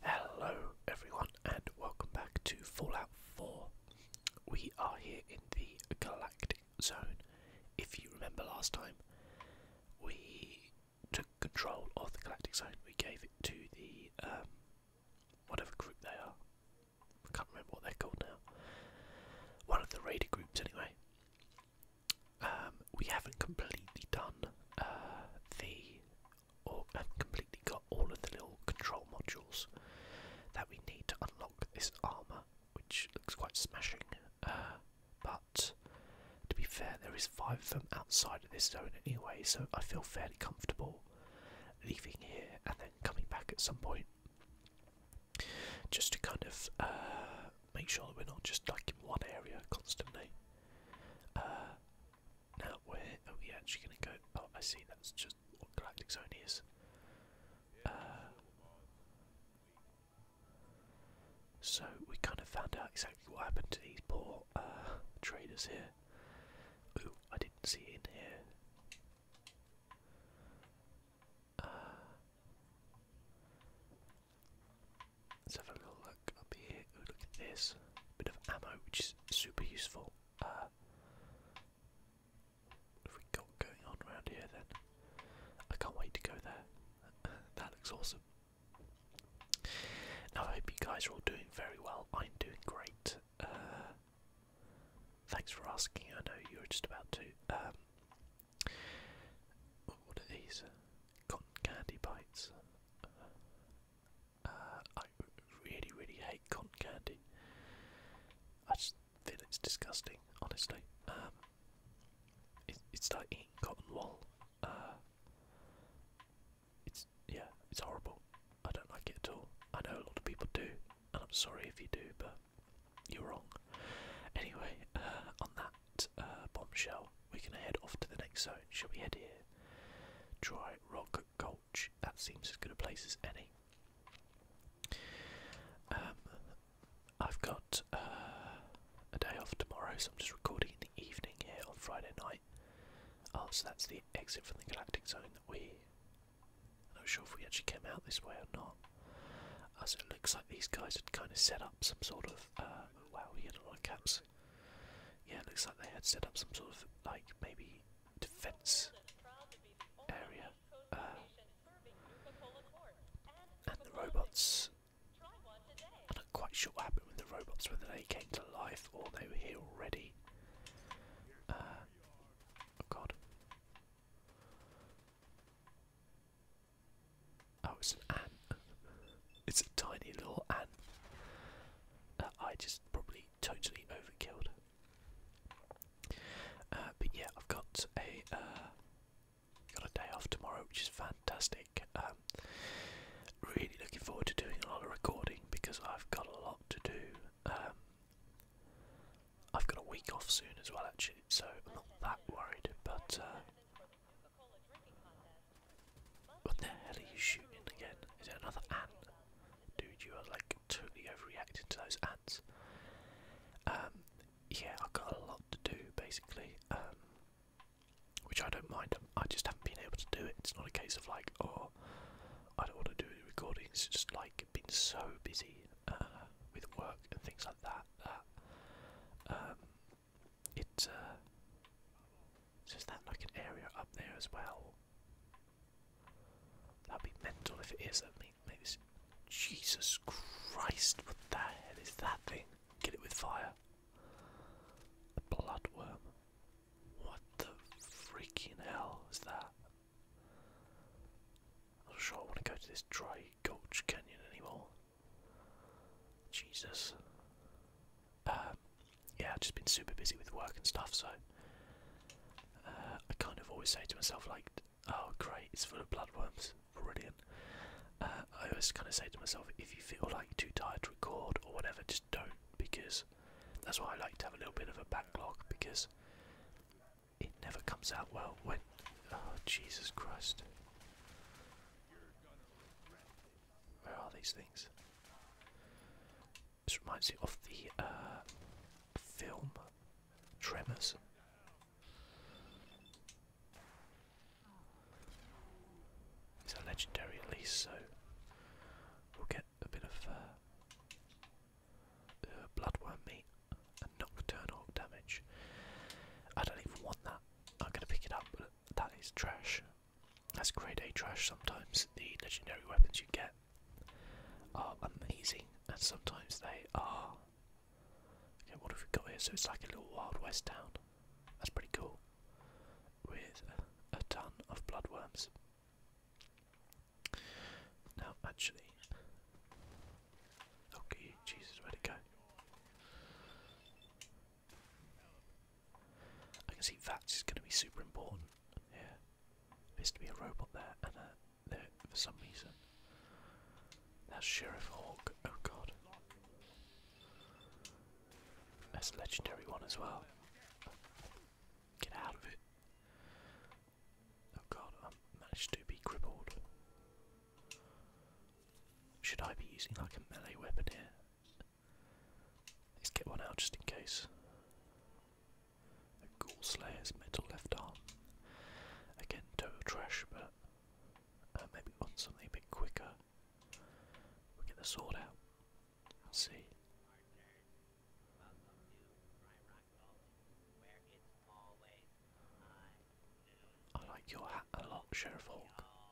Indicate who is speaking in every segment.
Speaker 1: Hello, everyone, and welcome back to Fallout 4. We are here in the Galactic Zone. If you remember last time, we took control of the Galactic Zone. We gave it to the um, whatever group they are. I can't remember what they're called now. One of the raider groups, anyway. Um, we haven't completely done uh, the or have completely got all of the little control modules that we need to unlock this armor, which looks quite smashing. Uh, but to be fair, there is five of them outside of this zone anyway, so I feel fairly comfortable leaving here and then coming back at some point just to kind of uh, make sure that we're not just like in one area constantly. Uh, now where are we actually going to go? Oh, I see. That's just what Galactic Zone is. Uh, so we kind of found out exactly what happened to these poor uh, traders here. Ooh, I didn't see in here. Uh, Let's have a little look up here. look at this. Bit of ammo, which is super useful. Uh, what have we got going on around here then? I can't wait to go there. that looks awesome. I hope you guys are all doing very well. I'm doing great. Uh, thanks for asking. I know you were just about to. Um, these? Cotton candy bites. Uh, I really, really hate cotton candy. I just feel it's disgusting, honestly. Um, it's like eating cotton wool. Uh, it's yeah, it's horrible. I don't like it at all. I know a lot of people do, and I'm sorry if you do, but you're wrong. Anyway, uh, on that uh, bombshell, we're going to head off to the next zone. Shall we head here? Dry rock gulch. That seems as good a place as any. Um, I've got uh, a day off tomorrow, so I'm just recording in the evening here on Friday night. Oh, so that's the exit from the Galactic Zone that we. I'm not sure if we actually came out this way or not. As uh, it looks like these guys had kind of set up some sort of. wow, we had a lot of caps. Yeah, it looks like they had set up some sort of like maybe defense area. Uh, and the robots. I'm not quite sure what happened with the robots, whether they came to life or they were here already. Uh, oh god. Oh, it's an ant. It's a tiny little ant. I just probably totally overkilled. Uh, but yeah, I've got a uh, got a day off tomorrow, which is fantastic. Um, really looking forward to doing a lot of recording because I've got a lot to do. Um, I've got a week off soon as well, actually, so I'm not that worried. But uh, what the hell are you shooting again? Is that another ant? Dude, you are like totally overreacting to those ants. Um, yeah, I've got a lot to do basically, um, which I don't mind. I just haven't been able to do it. It's not a case of like, oh, I don't want to do the recordings. It's just like been so busy uh, with work and things like that um, it's uh so that like an area up there as well? That'd be mental if it is. I mean, maybe Jesus Christ! What the hell is that thing? Get it with fire. A bloodworm. What the freaking hell is that? I'm not sure I want to go to this dry gulch canyon anymore. Jesus. Um, yeah, I've just been super busy with work and stuff, so uh, I kind of always say to myself, like, oh, great, it's full of bloodworms, brilliant. Uh, I always kind of say to myself, if you feel like you're too tired to record or whatever, just don't, because that's why I like to have a little bit of a backlog, because it never comes out well when. Oh, Jesus Christ. Where are these things? This reminds me of the uh, film Tremors. It's a legendary at least, so we'll get a bit of uh, uh, bloodworm meat and nocturnal damage. I don't even want that. i going to pick it up, that is trash. That's grade A trash sometimes. The legendary weapons you get are amazing, and sometimes they are. Okay, what have we got here? So it's like a little Wild West town. That's pretty cool. With a, ton of bloodworms. Now, actually. Okay, Jesus, where did it go? I can see Vats is going to be super important here. Appears to be a robot there, and a, for some reason. That's Sheriff Hawk. Oh god. That's a legendary one as well. Get out of it. Oh god, I managed to be crippled. Should I be using like a melee weapon here? Let's get one out just in case. A Ghoul Slayer's metal left arm. Again, total trash, but uh, maybe want something a bit quicker.
Speaker 2: we get the sword out. We'll see. I like your hat a lot, Sheriff Hawk.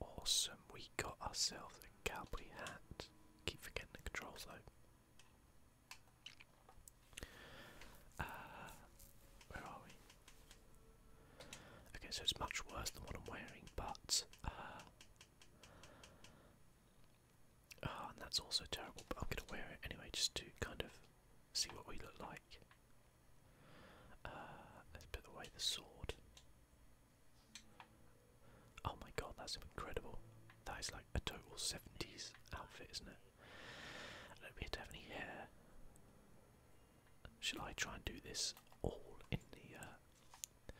Speaker 1: Awesome, we got ourselves a cowboy hat. Keep forgetting the controls though. Uh, where are we? Okay, so it's much worse than what I'm wearing, but. Uh, ah, and that's also terrible, but I'm gonna wear it anyway just to kind of see what we look like. Uh, let's put away the sword. Oh my god, that's incredible. That is like a total 70s outfit, isn't it? I don't hair. Shall I try and do this all in the uh,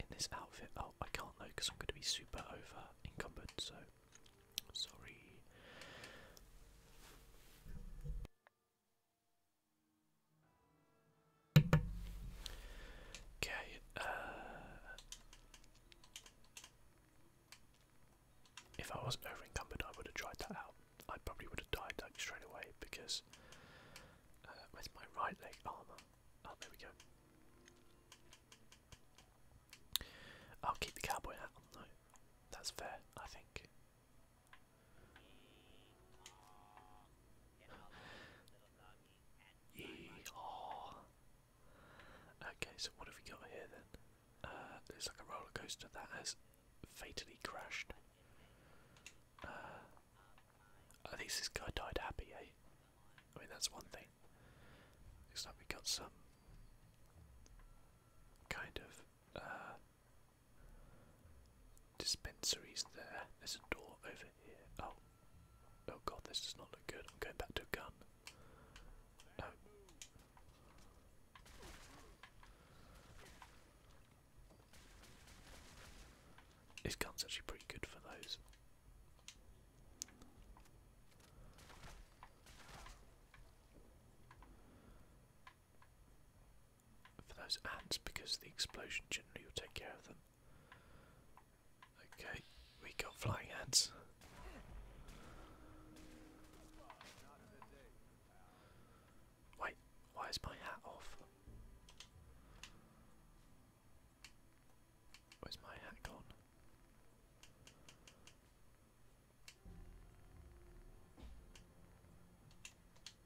Speaker 1: in this outfit? Oh, I can't though because I'm going to be super over encumbered. So sorry. Okay, uh, if I wasn't over I would have tried that out. I probably would have died straight away because uh, with my right leg armor. Oh, there we go. I'll keep the cowboy hat on That's fair, I think. Yeehaw. Okay, so what have we got here then? it's uh, like a roller coaster that has fatally crashed. Uh, at least this guy died happy, eh? I mean, that's one thing. Looks like we got some kind of uh, Dispensaries there. There's a door over here. Oh. Oh god, this does not look good. I'm going back to a gun. Oh. This gun's actually pretty good for those for those ants because the explosion generally will take care of them. Okay, we got flying ants. Wait, why is my hat off? Where's my hat gone?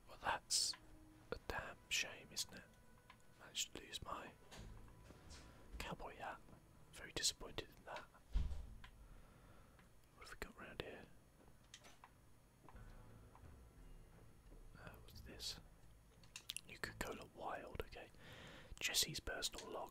Speaker 1: Well, that's a damn shame, isn't it? Managed to lose my cowboy hat. Very disappointed in that. What have we got round here? Uh, what's this? You Coca Cola Wild, okay. Jesse's personal log.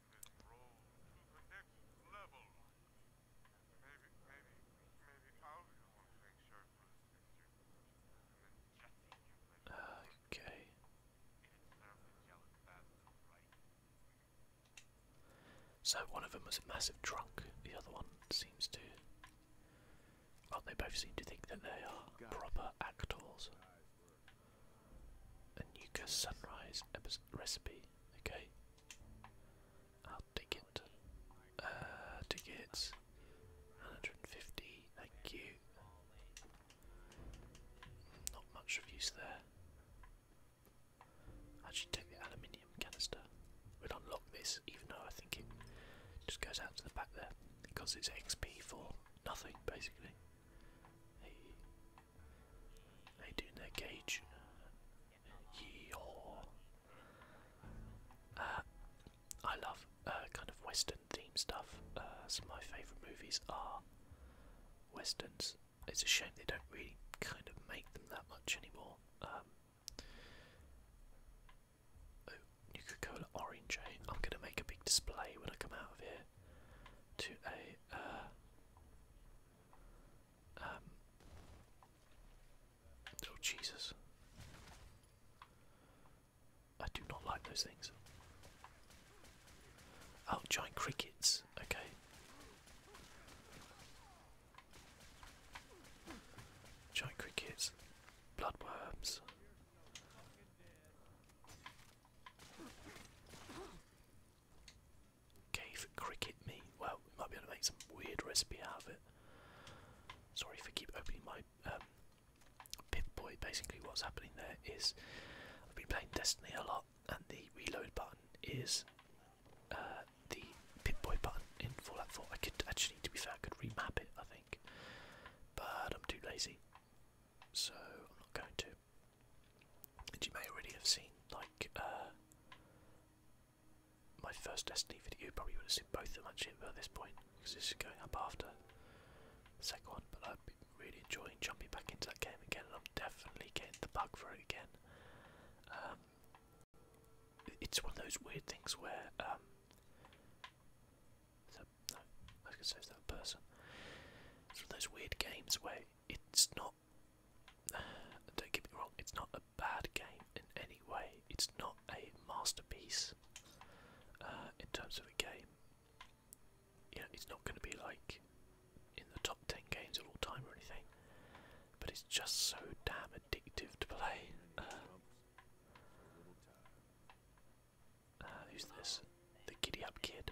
Speaker 1: Okay. So one of them was a massive drunk. The other one seems to. Well, they both seem to think that they are proper actors. A Nuka Sunrise recipe. Okay. I'll take it. tickets. 150. Thank you. Not much of use there. I should take the aluminium canister. We'll unlock this, even though I think it just goes out to the back there because it's XP for nothing, basically. How do doing there, Gage? Yeehaw. Uh, I love uh, kind of Western theme stuff. Uh, some of my favourite movies are Westerns. It's a shame they don't really kind of make them that much anymore. Um, oh, Coca-Cola orange. Eh? I'm gonna make a big display when I come out of here to a um, oh Jesus! I do not like those things. Oh, giant crickets. Okay. Giant crickets, bloodworms. Okay for cricket me. Well, we might be able to make some weird recipe out of it. Sorry if I keep opening my um, Boy. Basically, what's happening there is I've been playing Destiny a lot, and the reload button is uh, the Pip Boy button in Fallout 4. I could actually, to be fair, I could remap it, I think, but I'm too lazy, so I'm not going to. And you may already have seen, like, uh, my first Destiny video. You probably would have seen both of my actually at this point, because this is going up after the second one. But I've been really enjoying jumping back into that game again, and I'm definitely getting the bug for it again. Um, it's one of those weird things where, um, no, I was gonna say it's person. It's one of those weird games where it's not don't get me wrong, it's not a bad game in any way. It's not a masterpiece uh, in terms of a game. Yeah, it's not going to be like in the top 10 games of all time or anything, but it's just so damn addictive to play. Uh, uh, who's this?
Speaker 2: The Giddy Up Kid.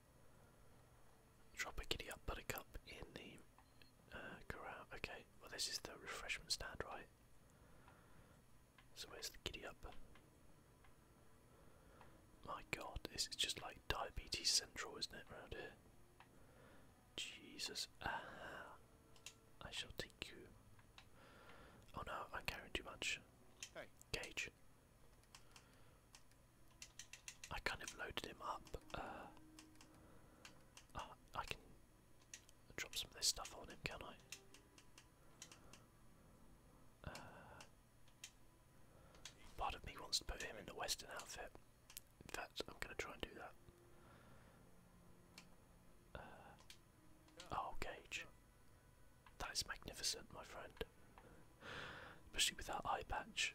Speaker 1: Drop a giddy up buttercup in the uh, Okay, well, this is the refreshment stand, right? So, where's the giddy up? My god, this is just like diabetes central, isn't it, around here? Jesus. Ah, I shall take you. Oh no, I'm carrying too much. Hey. Gage. I kind of loaded him up. Uh, uh, I can drop some of this stuff on him, can I? Uh, part of me wants to put him in a western outfit. In fact, I'm going to try and do that. oh, Gage. That is magnificent, my friend. Especially with that eye patch.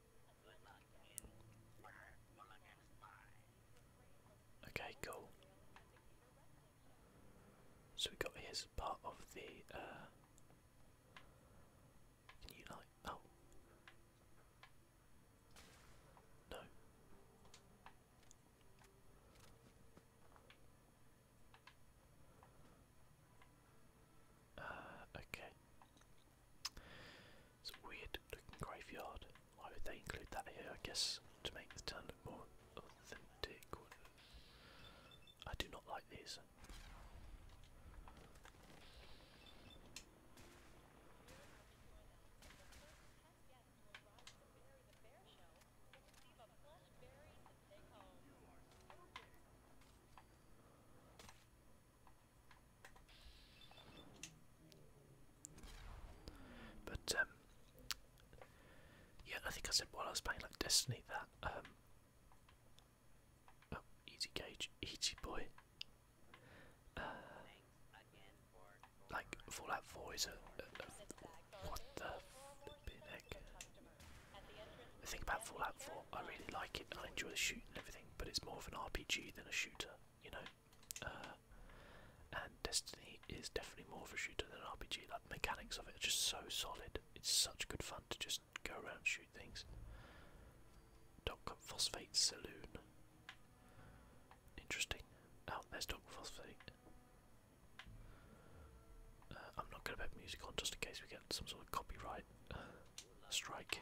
Speaker 1: Okay, cool. So we got here's part of the uh, can you like oh no uh okay it's a weird looking graveyard. Why would they include that here? I guess to make the town look more authentic. I do not like these. But um, yeah, I think I said while I was playing like Destiny that um, oh, easy gauge, easy boy. Uh, like Fallout Four is a, what the flipping heck? about Fallout Four, I really like it. I enjoy the shooting and everything, but it's more of an RPG than a shooter, you know. Uh, and Destiny is definitely more of a shooter than an RPG. Like the mechanics of it are just so solid. It's such good fun to just go around shoot things. Dock phosphate saloon. Interesting. Oh, there's dock phosphate. Uh, I'm not going to put music on just in case we get some sort of copyright
Speaker 2: uh, strike.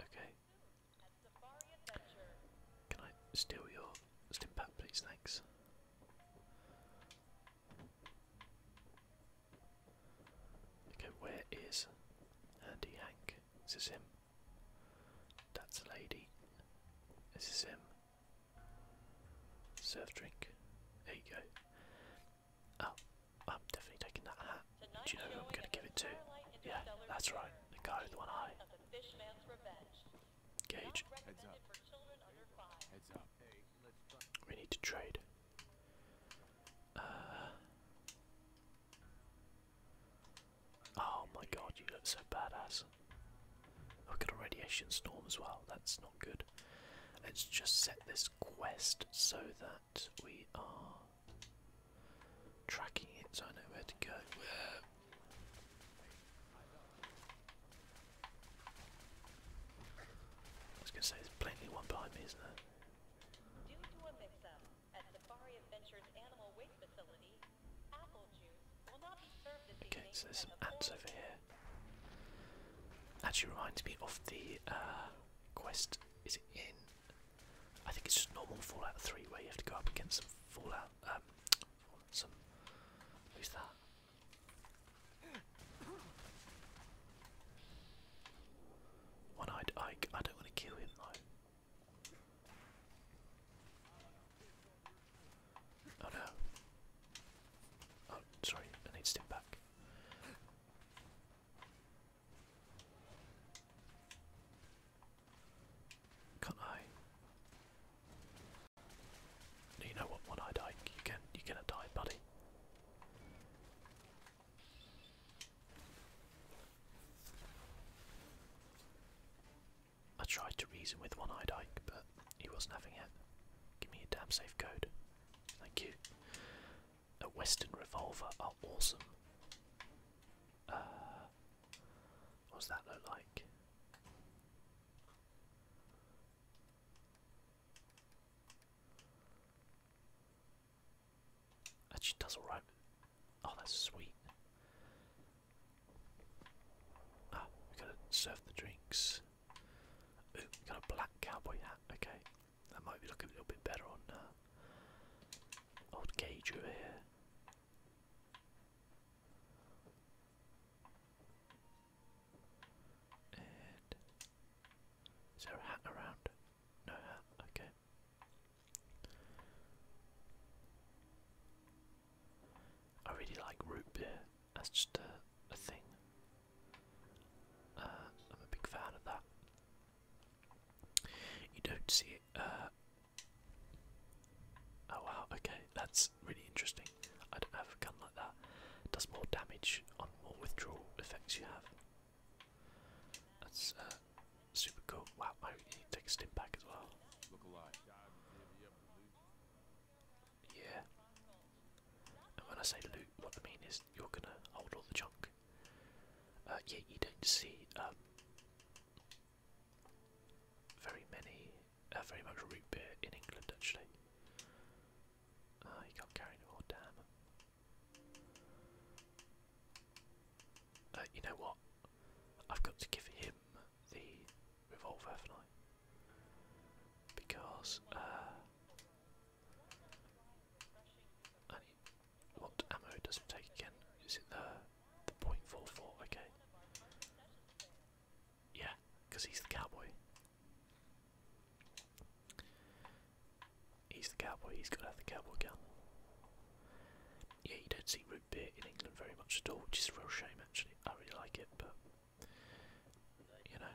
Speaker 2: Okay.
Speaker 1: Can I steal your stimpak, please? Thanks. Okay, where is Andy Hank? Is this him? That's a lady. This is him. Surf drink. There you go. Oh, I'm definitely taking that hat. Do you know who I'm going to give it to? Yeah, that's right. The guy with one eye. Gage. Heads up. We need to trade. Uh, oh my god, you look so badass. I've got a radiation storm as well, that's not good. Let's just set this quest so that we are tracking it so I know where to go. Where I was going to say, there's plainly one behind me, isn't there? Okay, there's some ants over here. Actually reminds me of the uh, quest. Is it in? I think it's just normal Fallout 3 where you have to go up against some Fallout. Um, some. Who's that? One-eyed Ike. I don't want to kill him though. Oh no. Oh, sorry, I need to step back. Can't I? You know what, one-eyed Ike, you can you going die, buddy. I tried to reason with one-eyed Ike, but he wasn't having it. Give me a damn safe code. Thank you. A Western revolver are awesome. Uh, what's that look like? Actually, does all right. Oh, that's sweet. Ah, we gotta serve the drinks. Ooh, we got a black cowboy hat. Okay, that might be looking a little bit better on uh, old Gage over there a hat around? No hat, okay. I really like root beer, that's just a, a thing uh, I'm a big fan of that. You don't see it. Uh, oh wow, okay, that's really interesting. I don't have a gun like that. does more damage on more withdrawal effects you have. That's uh, super cool. Wow, I need to take a step back as well. Yeah. And when I say loot, what I mean is you're gonna hold all the junk. Uh, yeah, you don't see um, very many, uh, very much root beer in England actually. Uh, you can't carry anymore, damn. Uh, you know what? I've got to give him the revolver, have Because, what ammo does it take again? Is it the, .44? Okay. Yeah, because he's the cowboy. He's the cowboy, he's got to have the cowboy gun. Yeah, you don't see root beer in England very much at all, which is a real shame actually. I really
Speaker 2: like it, but you know.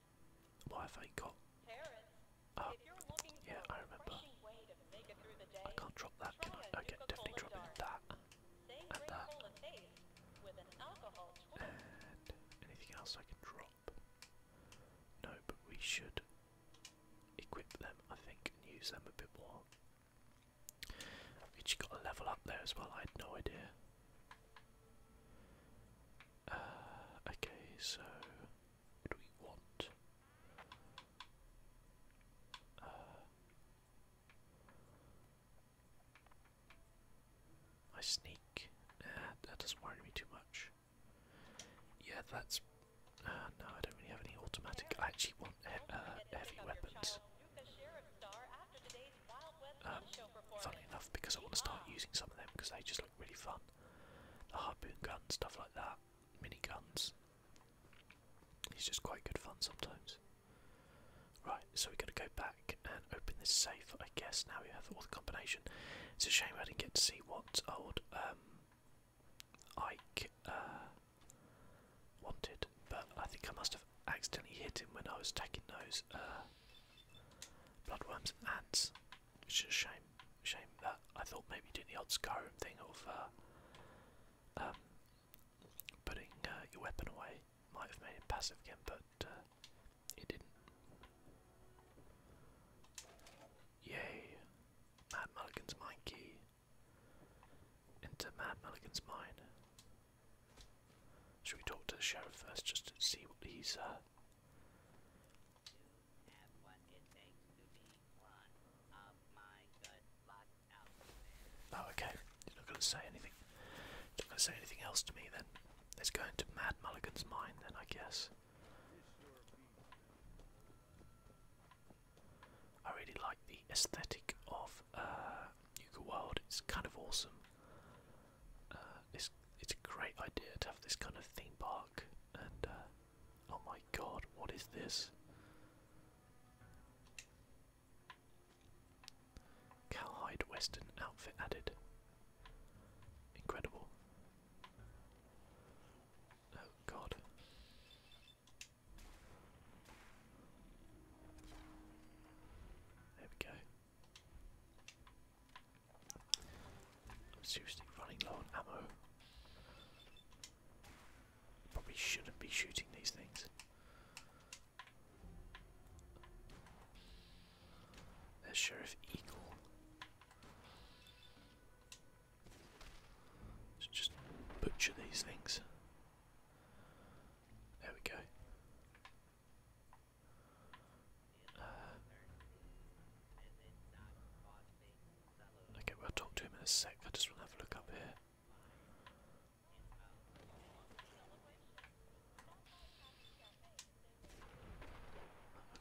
Speaker 1: What have got? Oh, yeah, I remember. I
Speaker 2: can't drop that, can I? Okay, definitely dropping that. And that. And
Speaker 1: anything else I can drop? No, but we should equip them, I think, and use them a bit more. We got a level up there as well, I had no idea. Uh, okay, so do we want? Uh, I sneak. Nah, that doesn't worry me too much. Yeah, that's. Uh, no, I don't really have any automatic. I actually want he uh, heavy weapons. Um, funnily enough, because I want to start using some of them because they just look really fun the harpoon gun, stuff like that, mini guns. It's just quite good fun sometimes. Right, so we're gonna go back and open this safe, I guess. Now we have all the combination. It's a shame I didn't get to see what old um, Ike uh, wanted, but I think I must have accidentally hit him when I was taking those uh, bloodworms and ants. It's just a shame, shame that I thought maybe doing the odd Skyrim thing of uh, um, putting uh, your weapon away might have made it passive again, but uh, it didn't. Yay! Mad Mulligan's mine key. Into Mad Mulligan's mine. Should we talk to the sheriff first, just to see what he's Oh, okay. You're not gonna say anything. You're not gonna say anything else to me then. Let's go into Mad Mulligan's mind then, I guess. I really like the aesthetic of uh, World. It's kind of awesome. Uh, it's it's a great idea to have this kind of theme park. And uh, oh my god, what is this? Cowhide Western outfit added. Incredible. Oh god. There we go i seriously running low on ammo. Probably shouldn't be shooting these things. There's Sheriff Eagle. So just butcher these things. There we go okay, well, will talk to him in a sec. I just want to have a look up here.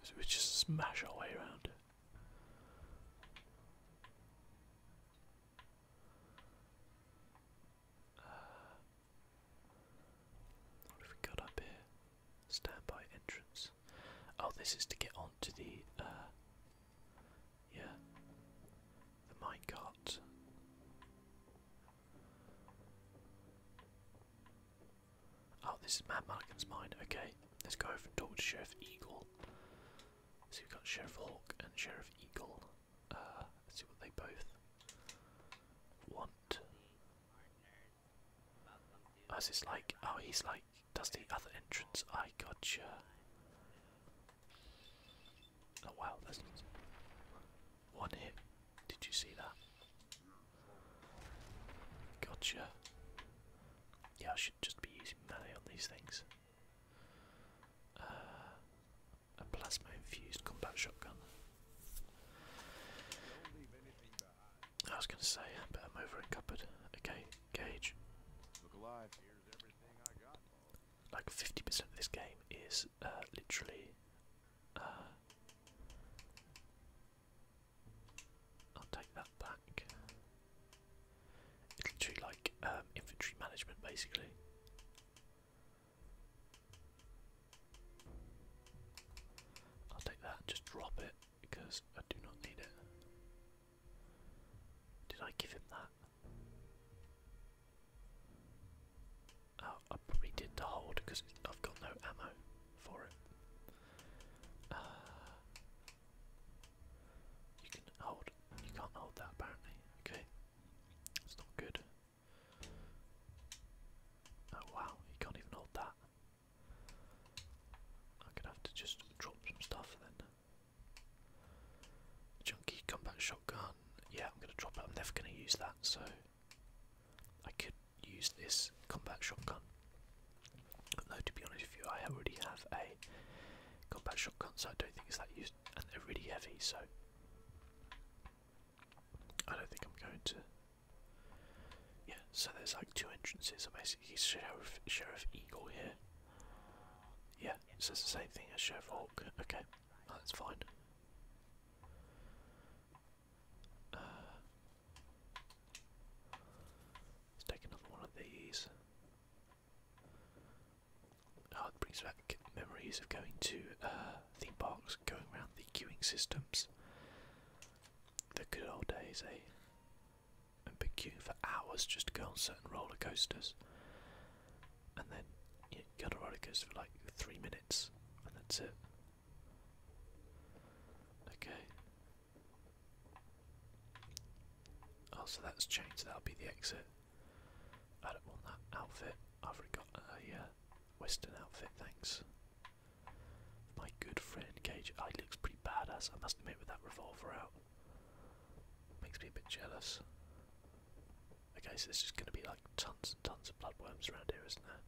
Speaker 1: So we just smash our way around. What have we got up here? Standby entrance. Oh, this is to get onto the, uh, yeah, the minecart. Oh, this is Mad Mulligan's mine. Okay, let's go over and talk to Sheriff Eagle. So we've got Sheriff Hawk and Sheriff Eagle. Uh, let's see what they both want. As it's like, oh, he's like, does the other entrance? I gotcha. Oh wow, that's one hit. Did you see that? Gotcha. Yeah, I should just be using melee on these things. Uh, a plasma infused combat shotgun. I was gonna say, but I'm over in cupboard. Okay, gauge. Look alive. Here's everything I got. Like 50% of this game is uh, literally uh, I'll take that back. It's literally like um, management basically. I'll take that, just drop it, because I do not need it. Did I give him that? Oh, I probably did the hold because I've got no ammo for it. Uh, you can hold. You can't hold that apparently. Okay, it's not good. Oh wow, you can't even hold that. I'm have to just drop some stuff then. Junky combat shotgun. Yeah, I'm gonna drop it. I'm never gonna use that, so I could use this combat shotgun. Though to be honest with you, I already have a combat shotgun, so I don't think it's that used, and they're really heavy, so I don't think I'm going to yeah, so there's like two entrances. I'm basically Sheriff, Sheriff Eagle here. Yeah, it says the same thing as Sheriff Hawk. Okay, that's fine. Uh, let's take another one of these. Oh, it brings back memories of going to uh, theme parks, going around the queuing systems. The good old days, eh? And been queuing for hours just to go on certain roller coasters. And then you go on a roller coaster for like three minutes, and that's it. Okay. Oh, so that's changed. That'll be the exit. I don't want that outfit. I've already got a uh, Western outfit, thanks. My good friend Cage. I looks pretty badass, I must admit, with that revolver out. Makes me a bit jealous. Okay, so there's just gonna be like tons and tons of bloodworms around here, isn't there?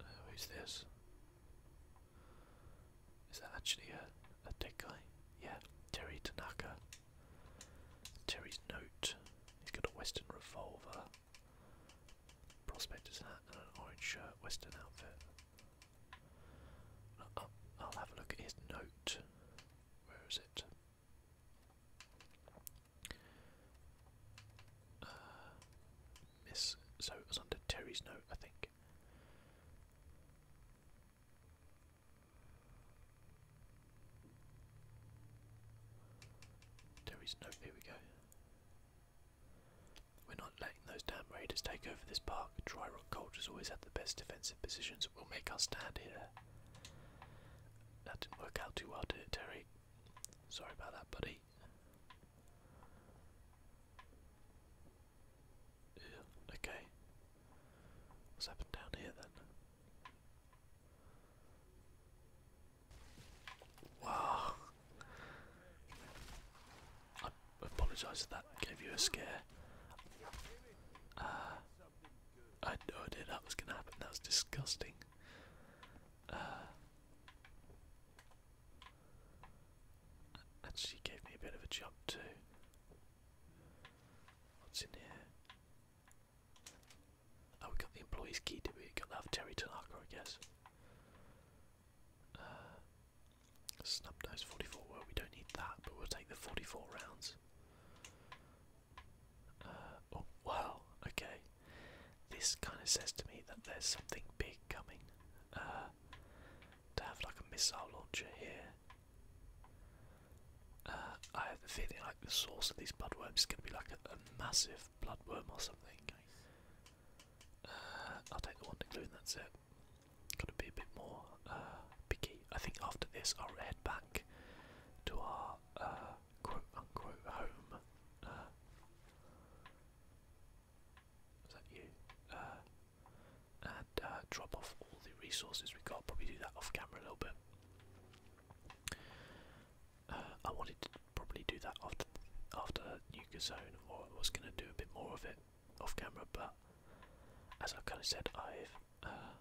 Speaker 1: Uh, who's this? Is that actually a, a dead guy? Yeah, Terry Tanaka. Terry's note. He's got a Western revolver. Prospector's hat and an orange shirt, western outfit. I'll, have a look at his note. Where is it? Uh, miss. So it was under Terry's note, I think. Terry's note, here we go. We're not letting those damn raiders take over this park. Dry rock cultures always had the best defensive positions. We'll make our stand here. That didn't work out too well, did it, Terry? Sorry about that, buddy. Yeah, okay. What's happened down here then? Wow. I apologise if that gave you a scare. Uh, I had no idea that was going to happen. That was disgusting. Uh, and she gave me a bit of a jump too. What's in here? Oh, we got the employees key, did we? Got that of Terry Tanaka, I guess. Uh, Snubnose 44, well, we don't need that, but we'll take the 44 rounds. Uh, oh, wow, okay. This
Speaker 2: kind of says to me that there's something big coming. Uh, to have like a
Speaker 1: missile launcher here. Uh, I have the feeling like the source of these bloodworms is going to be like a, a massive bloodworm or something. I'll take the wonder glue and that's it. Gotta be a bit more uh, picky. I think after this I'll head back to our uh, quote unquote home. Uh, is that you? and drop off all the resources we got. Probably do that off camera a little bit. I wanted to probably do that after after Nuka Zone, or I was going to do a bit more of it off camera, but as i kind of said, I've uh,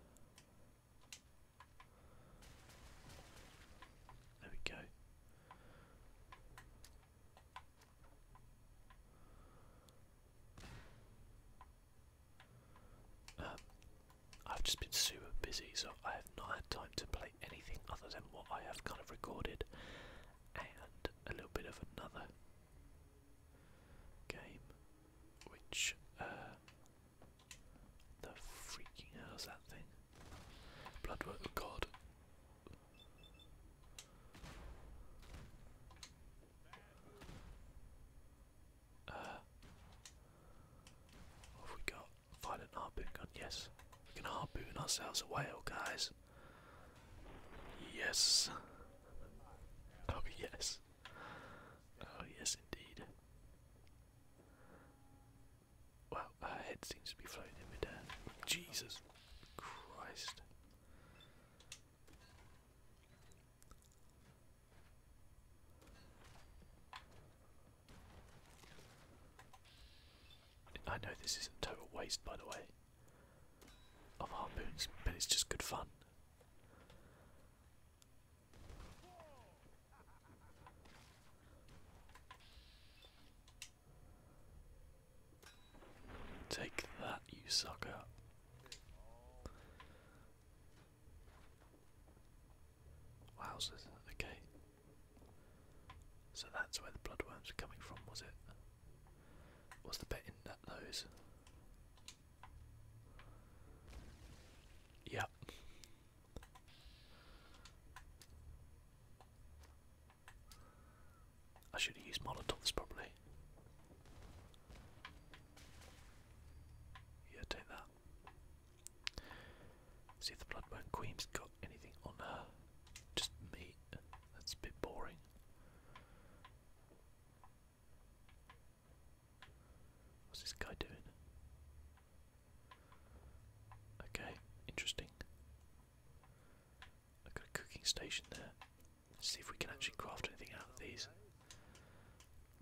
Speaker 1: there we go. Um, I've just been super busy, so I have not had time to play anything other than what I have kind of recorded and a little bit of another game which uh the freaking hell's that thing? Bloodwork God uh, what have we got? Violent harpoon gun, yes. We can harpoon ourselves a whale, guys. Yes. Oh, yes. Oh, yes, indeed. Well, her head seems to be floating in midair. Jesus Christ. I know this isn't total waste, by the way, of harpoons, but it's just good fun. Take that, you sucker. Wowzers, okay. So that's where the bloodworms are coming from, was it? What's the bit in that nose? Yep. I should have used Molotovs probably. Yeah, take that. See if the bloodworm Queen's got anything on her. Just meat. That's a bit boring. What's this guy doing? Okay, interesting. I've got a cooking station there. Let's see if we can actually craft anything out of these.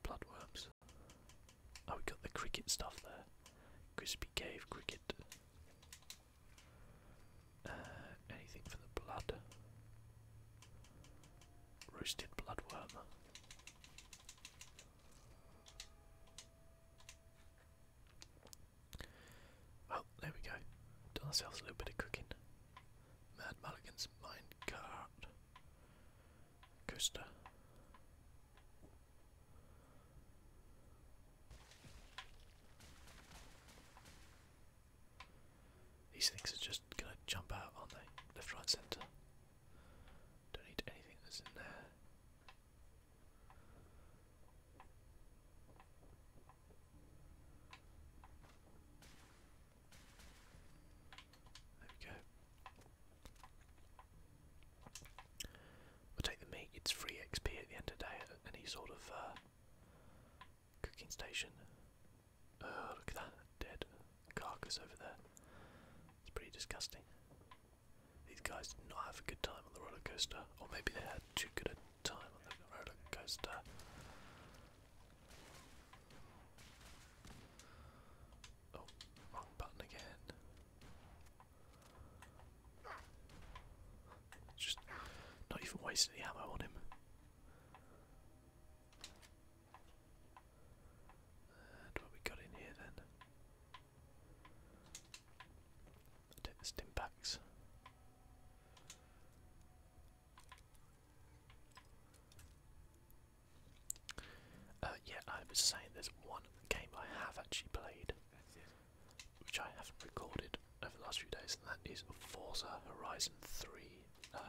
Speaker 1: Bloodworms. Oh, we got the cricket stuff there. Crispy cave cricket. Uh, anything for the blood? Roasted bloodworm. Well, there we go. Done ourselves a little bit of cooking. Mad Mulligan's minecart. Coaster. These things are just gonna jump out, aren't they? Left, right, centre. Don't need anything that's in there. There we go we take the meat, it's free XP at the end of the day at any sort of uh, cooking station. Oh, look at that dead carcass over there. It's pretty disgusting. These guys did not have a good time on the roller coaster, or maybe they had too good a time on the roller coaster. Oh, wrong button again. Just not even wasting the ammo on him. And what we got in here then? the stim packs. Uh, yeah, I was saying there's one game I have actually played which I haven't recorded over the last few days, and that is Forza Horizon 3, uh,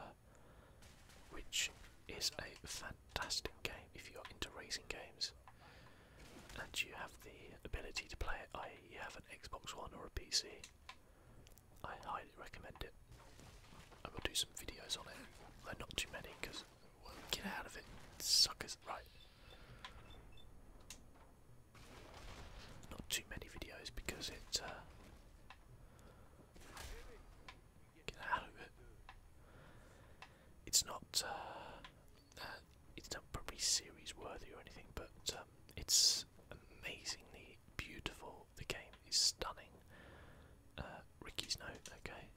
Speaker 1: which is a fantastic game if you're into racing games and you have the ability to play it, i.e., you have an Xbox One or a PC. I highly recommend it. I will do some videos on it, though not too many because well, get out of it, suckers. Right, not too many videos because it uh, It's not uh, uh, it's not probably series worthy or anything, but um, it's amazingly beautiful. The game is stunning. Ricky's note, okay.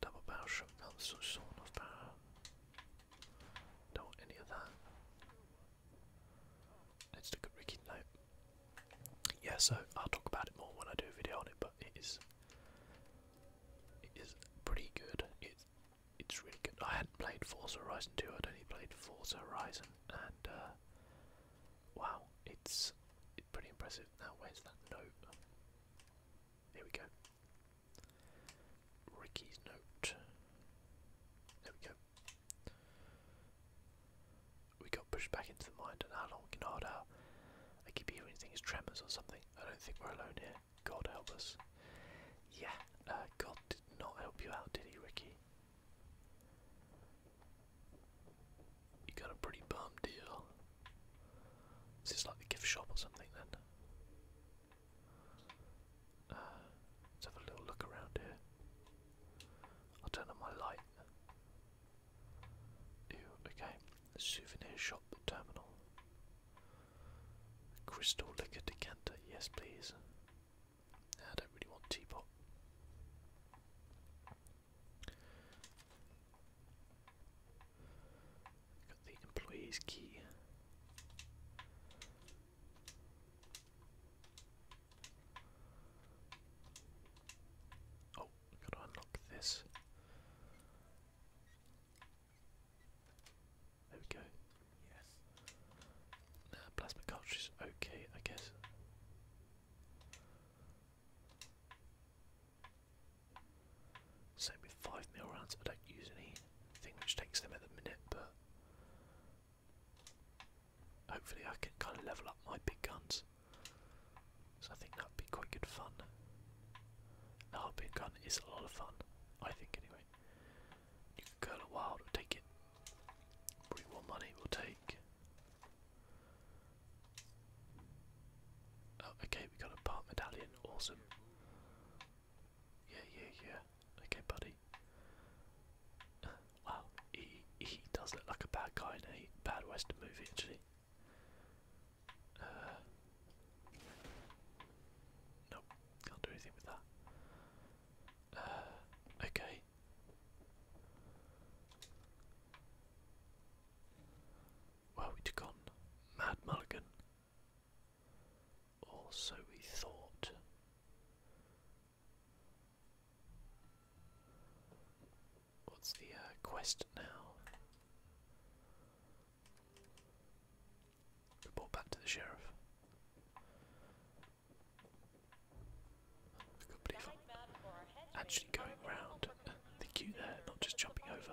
Speaker 1: Double barrel shot so soon off barrel. Don't any of that. Let's look at Ricky now.
Speaker 2: Yeah, so I'll talk about it more when I do a video on it, but it is it is pretty good. It it's really
Speaker 1: good. I hadn't played Forza Horizon 2, I'd only played Forza Horizon and uh, wow, it's pretty impressive. Now where's that note? Here we go. Ricky's note. There we go. We got pushed back into the mine, and how long we I keep hearing things, tremors or something. I don't think we're alone here. God help us. Yeah, uh, God did not help you out, did he, Ricky? You got a pretty bum deal. This Is like the gift shop or something then? Uh, let's have a little look around here. i turn on my light. okay. souvenir shop terminal. Crystal liquor decanter, yes please. I don't really want teapot. Got the employee's key.
Speaker 2: Oh, gotta unlock this.
Speaker 1: There we go. Yes. plasma cartridge okay, I guess. Same with 5 mil rounds, I don't use anything which takes them at the minute, but hopefully I can kind of level up my big guns. So I think that'd be quite good fun. The harbin gun is a lot of fun, I think anyway. You can curl wild, we'll take it. Bring more money, we'll take. Oh, okay, we got a part medallion. Awesome. Yeah, yeah, yeah. Okay, buddy. wow, he he does look like a bad guy in a bad western movie, actually. Uh, nope, can't do anything with that. Uh, okay where we'd gone Mad Mulligan. Or so we thought. What's the uh, now? Report back to the sheriff. I could believe I'm actually going round the queue there, not just jumping over.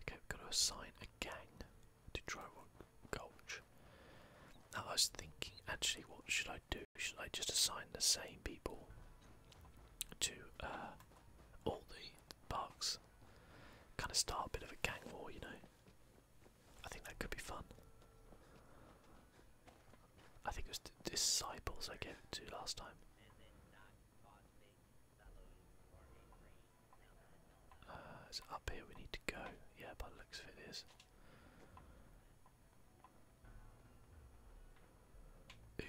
Speaker 1: Okay, we to assign a gang to Drywood Gulch. Now I was thinking, actually, what should I do? Should I just assign the same people to uh, all the parks? Kind of start a bit of a gang war, you know? I think that could be fun. I think it was Disciples I gave to last time. Uh, it's up here we need to go. Yeah, but looks fit is. Ooh,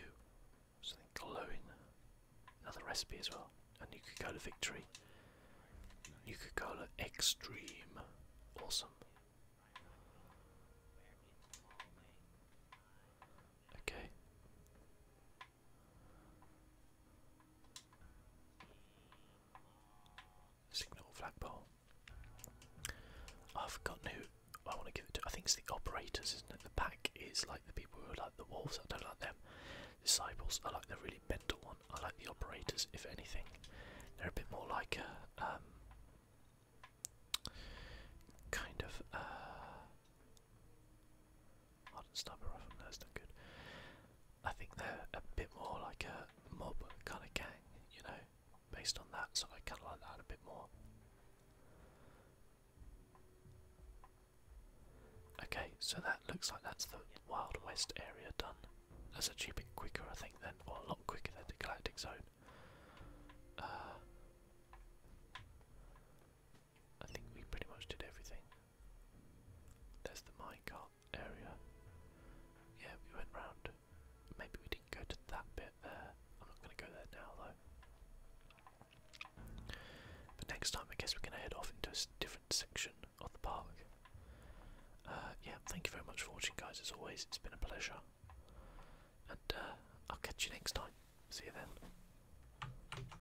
Speaker 1: something glowing. Another recipe as well. A Nuka Cola Victory. Nuka Cola Extreme. Awesome. Okay. Signal flagpole. I've forgotten who I want to give it to. I think it's the operators, isn't it? The pack is like the people who are like the wolves. I don't like them. Disciples. I like the really mental one. I like the operators, if anything. They're a bit more like a um, kind of uh, I didn't stab her off from there, it's not good. I think they're a bit more like a mob kind of gang, you know, based on that, so I kind of like that a bit more. Okay, so that looks like that's the Wild West area done. That's actually a bit quicker, I think, than, or a lot quicker than the Galactic Zone. Uh, I think we pretty much did everything. There's the minecart area. Yeah, we went round. Maybe we didn't go to that bit there. I'm not going to go there now though. But next time I guess we're going to head off into a different section of the park. Uh, yeah, thank you very much for watching guys as always. It's been a pleasure. And uh, I'll catch you next time. See you then.